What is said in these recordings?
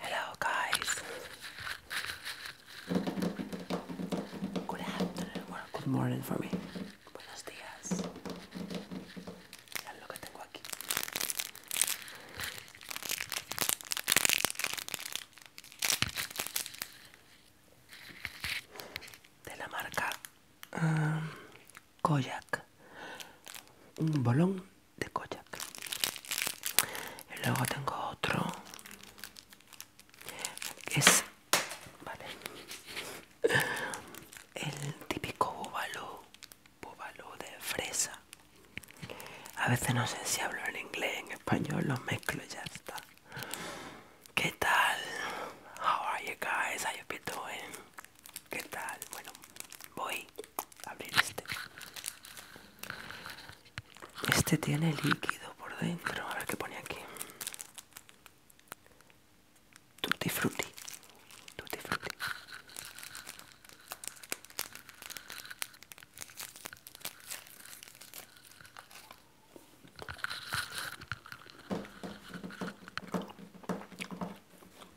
Hello, guys. Good afternoon or good morning for me. Buenos días. lo que tengo aquí. De la marca um, Koyak. Un bolón de Koyak y luego tengo otro que es el típico búbalo de fresa a veces no sé si hablo en inglés en español lo mezclo y ya está ¿Qué tal? How are you guys? How you been ¿Qué tal? Bueno, voy a abrir este. Este tiene líquido por dentro. A ver qué pone aquí. Tutti frutti. Tutti frutti.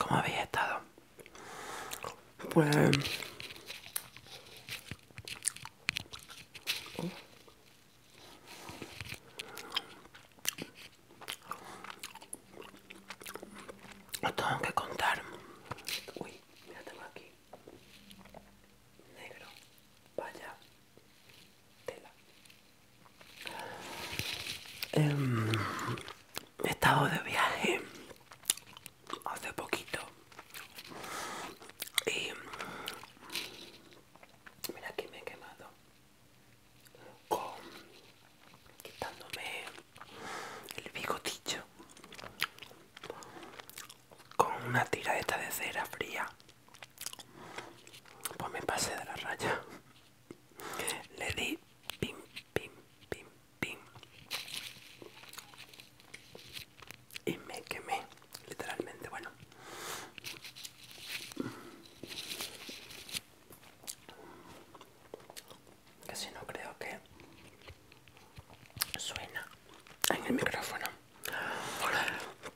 ¿Cómo había estado? Pues... no tengo que contar. Uy, mira, tengo aquí. Negro. Vaya. Tela he em, estado de viaje hace poquito y mira que me he quemado con quitándome el bigotillo con una esta de cera fría pues me pasé de la raya le di Pim, pim, pim, pim. Y me quemé, literalmente, bueno. Casi no creo que suena en el micrófono.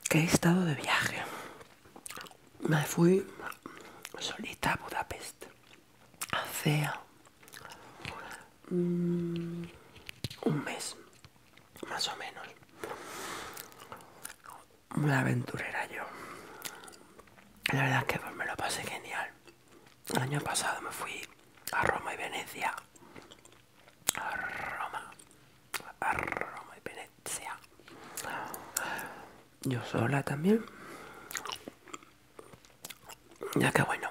Que he estado de viaje, me fui solita a Budapest hace mm, un mes más o menos una aventurera yo la verdad es que me lo pasé genial el año pasado me fui a Roma y Venecia a Roma a Roma y Venecia sea yo sola también ya que bueno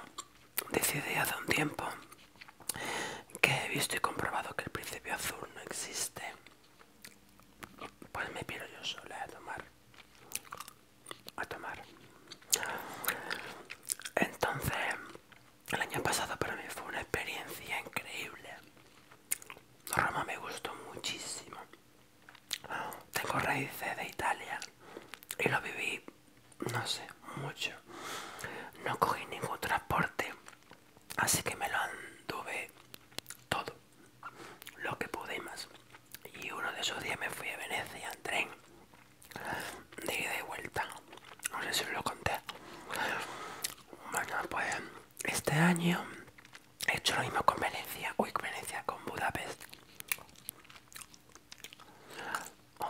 decidí hace un tiempo que he visto y comprobado que el principio azul no existe pues me pido yo sola a tomar a tomar entonces el año pasado para mí fue una experiencia increíble Roma me gustó muchísimo. Tengo raíces de Italia y lo viví, no sé, mucho. No cogí ningún transporte, así que me lo anduve todo, lo que pude y más. Y uno de esos días me fui a Venecia en tren, de ida y vuelta. No sé si os lo conté. Bueno, pues este año he hecho lo mismo con Venecia, uy, con Venecia, con Budapest,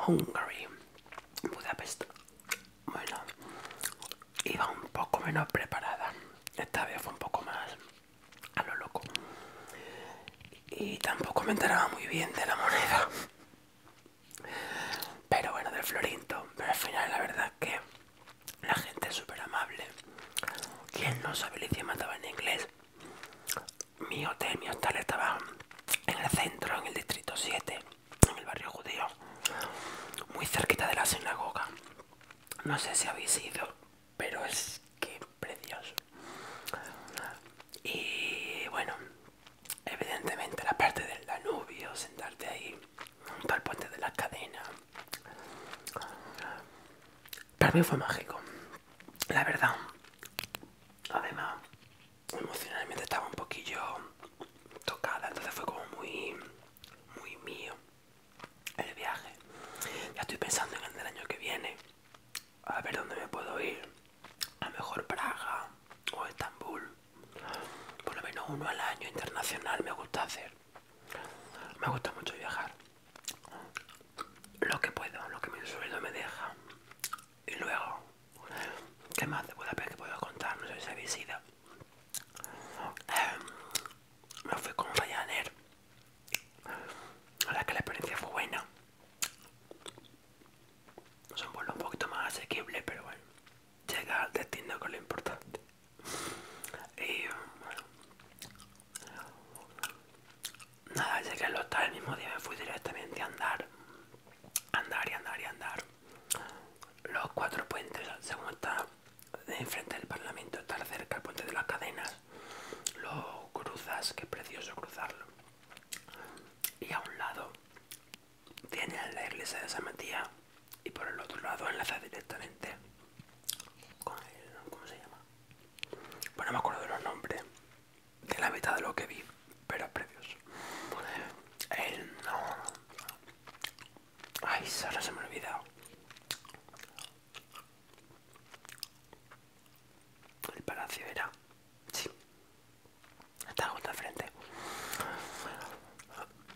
Hungary, Budapest. Bueno, iba un poco menos preparada, esta vez fue un poco más a lo loco y tampoco me enteraba muy bien de la moneda. Pero bueno, del Florinto. Pero al final la verdad que la gente es súper amable. Quien no sabe el idioma en inglés. Mi hotel, mi hostal estaba en el centro, en el distrito 7, en el barrio judío, muy cerquita de la sinagoga. No sé si habéis ido, pero es que precioso. Y bueno, evidentemente la parte del Danubio, sentarte ahí para el puente de las cadenas. Para mí fue mágico, la verdad. Además, emocionalmente estaba un poquillo tocada, entonces fue como muy, muy mío el viaje. Ya estoy pensando en el año que viene, a ver dónde me puedo ir. A lo mejor Praga o Estambul. Por lo menos uno al año internacional me gusta hacer. Me gusta mucho viajar. Lo que puedo, lo que mi sueldo me deja. Y luego, ¿qué más de Budapest que puedo contar? No sé si habéis ido. Em, me fui con Ryanair. La que la experiencia fue buena. Son vuelos un poquito más asequible, pero bueno. Llega al destino con lo importante. Y nada, llegué al hotel el mismo día me fui directamente a andar. Andar y andar y andar. Los cuatro puentes, según está enfrente del Parlamento, está cerca el puente de las cadenas. Lo cruzas, que es precioso cruzarlo. Y a un lado tiene la iglesia de San Matías y por el otro lado enlaza directamente con el... ¿cómo se llama? Bueno, me acuerdo de los nombres de la mitad de lo que vi, pero precioso. El... no... Ay, solo se me ha olvidado. El palacio era... Sí está justo enfrente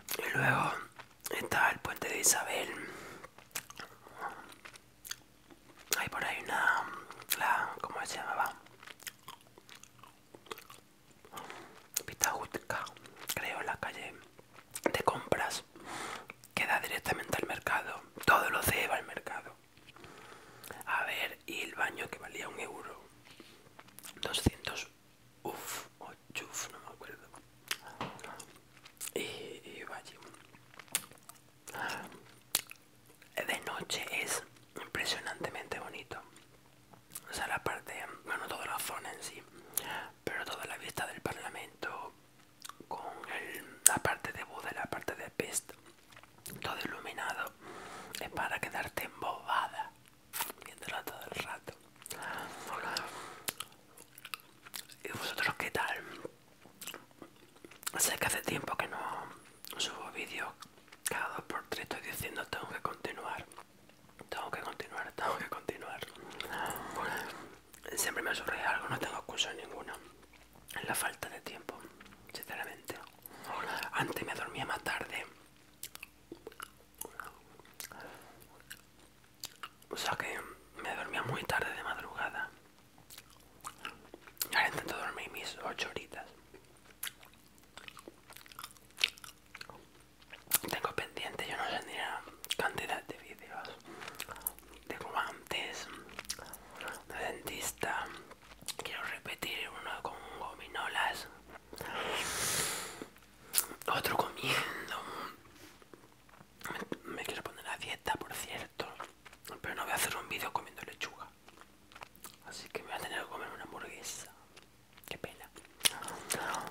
frente y luego está el puente de Isabel hay por ahí una la cómo se llamaba Pitajutca creo la calle de compras que da directamente al mercado todo lo lleva al mercado a ver y el baño que valía un euro 200 Uf, o chuf, no me acuerdo. Y, eh, eh, vaya. De noche es impresionantemente bonito. O sea, la parte, bueno, toda la zona en sí, pero toda la vista del Parlamento, con la parte de Buda y la parte de Pest, todo iluminado, es para quedarte embobada viéndola todo el rato. hola ¿Y vosotros qué tal? Sé que hace tiempo que no subo vídeos, cada dos por tres estoy diciendo tengo que continuar, tengo que continuar, tengo que continuar. Siempre me surge algo, no tengo excusa ninguna. Es la falta de tiempo, sinceramente. Antes me dormía más tarde o sea que me dormía muy tarde de madrugada. Ahora intento dormir mis 8 horitas. Tengo pendiente, yo no sé cantidad de vídeos de guantes, de dentista. Quiero repetir uno con gominolas. Otro comiendo. Me, quiero poner a dieta, por cierto. Pero no voy a hacer un vídeo comiendo lechuga. Así que me voy a tener que comer una hamburguesa. Qué pena. Chao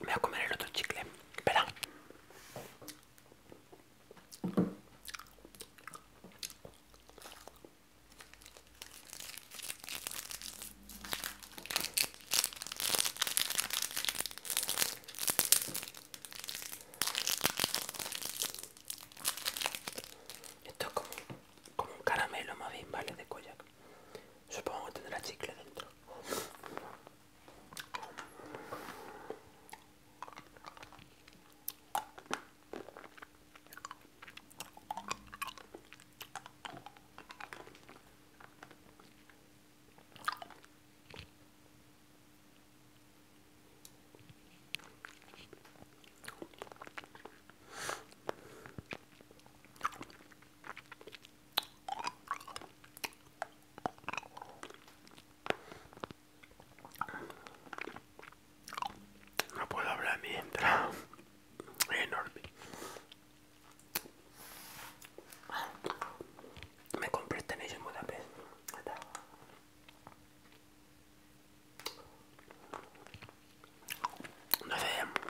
voy a comer el otro chicle. Espera. Esto es como, un caramelo más bien, ¿vale? De Koyak. Supongo que tendrá chicle dentro. No puedo hablar mientras. Es enorme. Me compré tenis en Budapest. No no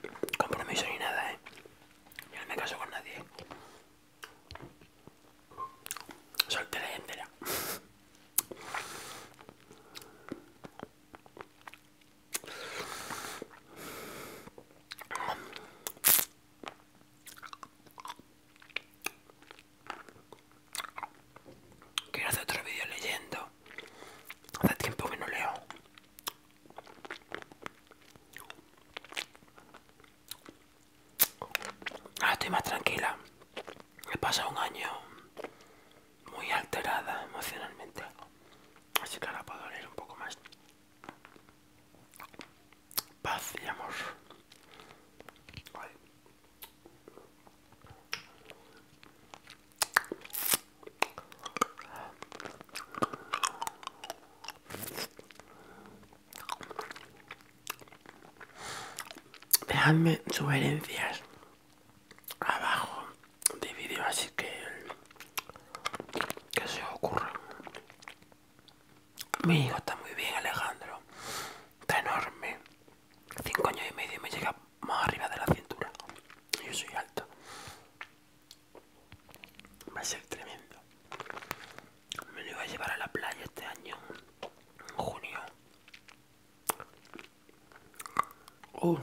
me compromiso ni nada, eh. Yo no me caso con nadie. Soltera y entera. Quiero hacer otro vídeo leyendo. Hace tiempo que no leo. Ahora estoy más tranquila. He pasado un año muy alterada emocionalmente. Así que ahora puedo leer un poco más paz y amor. Dejadme sugerencias abajo de vídeo así que que se ocurra mi hijo está muy bien, Alejandro. Está enorme. Cinco años y medio y me llega más arriba de la cintura. Yo soy alto. Va a ser tremendo. Me lo iba a llevar a la playa este año, en junio. Uh,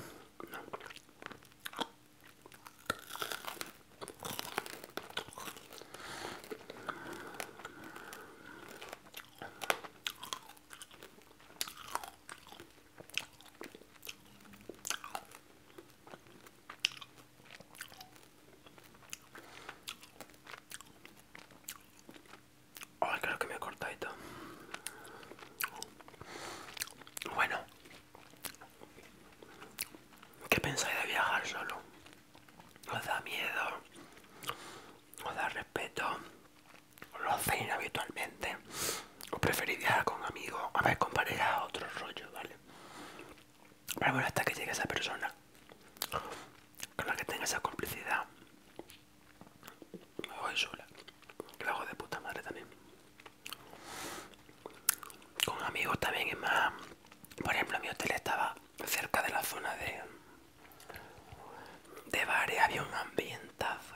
Ay, creo que me he cortado. Bueno, ¿qué pensáis de viajar solo? os da miedo, os da respeto, lo hacen habitualmente, o preferiría viajar con amigos, a ver, con pareja, otro rollo, ¿vale? Pero bueno, hasta que llegue esa persona con la que tenga esa complicidad, me voy sola, que lo hago de puta madre también. Con amigos también es más. Por ejemplo, mi hotel estaba cerca de la zona de, de bares había un ambientazo.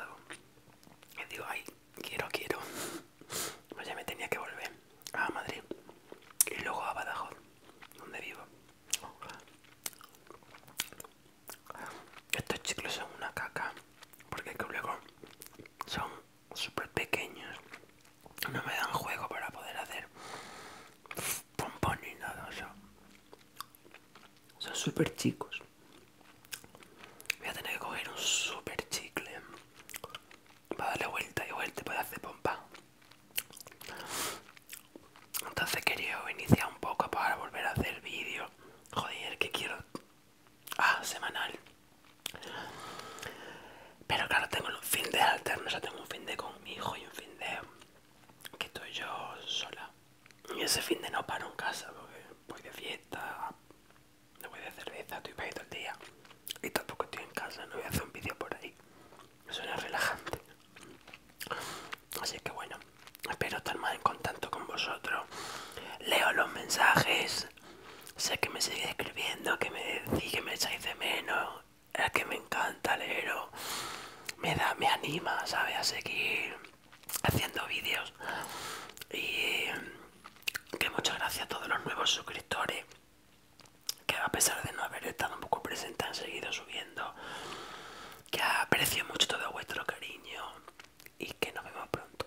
Y digo, ay, quiero, quiero. Pues ya me tenía que volver a Madrid y luego a Badajoz, donde vivo. Estos chicos son una caca, porque luego son súper pequeños no me dan juego para poder hacer pompón ni nada, o son súper chicos. Voy a tener que coger un super chicle para darle vuelta y vuelta para hacer pompa. Entonces quería iniciar un poco para volver a hacer vídeo. Joder, que quiero. Ah, semanal. Pero claro, tengo un fin de alterno, o tengo un fin de con mi hijo y un fin de que estoy yo sola. Y ese fin de no paro en casa, porque voy de fiesta, no voy de cerveza, estoy para el día. Y tampoco estoy en casa, no voy a hacer un vídeo por ahí. Suena relajante. Así que bueno, espero estar más en contacto con vosotros. Leo los mensajes. Sé que me seguís escribiendo, que me decís que me echáis de menos es que me encanta leerlo me da, me anima, ¿sabes? A seguir haciendo vídeos. Y que muchas gracias a todos los nuevos suscriptores que a pesar de no haber estado un poco presente han seguido subiendo que aprecio mucho todo vuestro cariño y que nos vemos pronto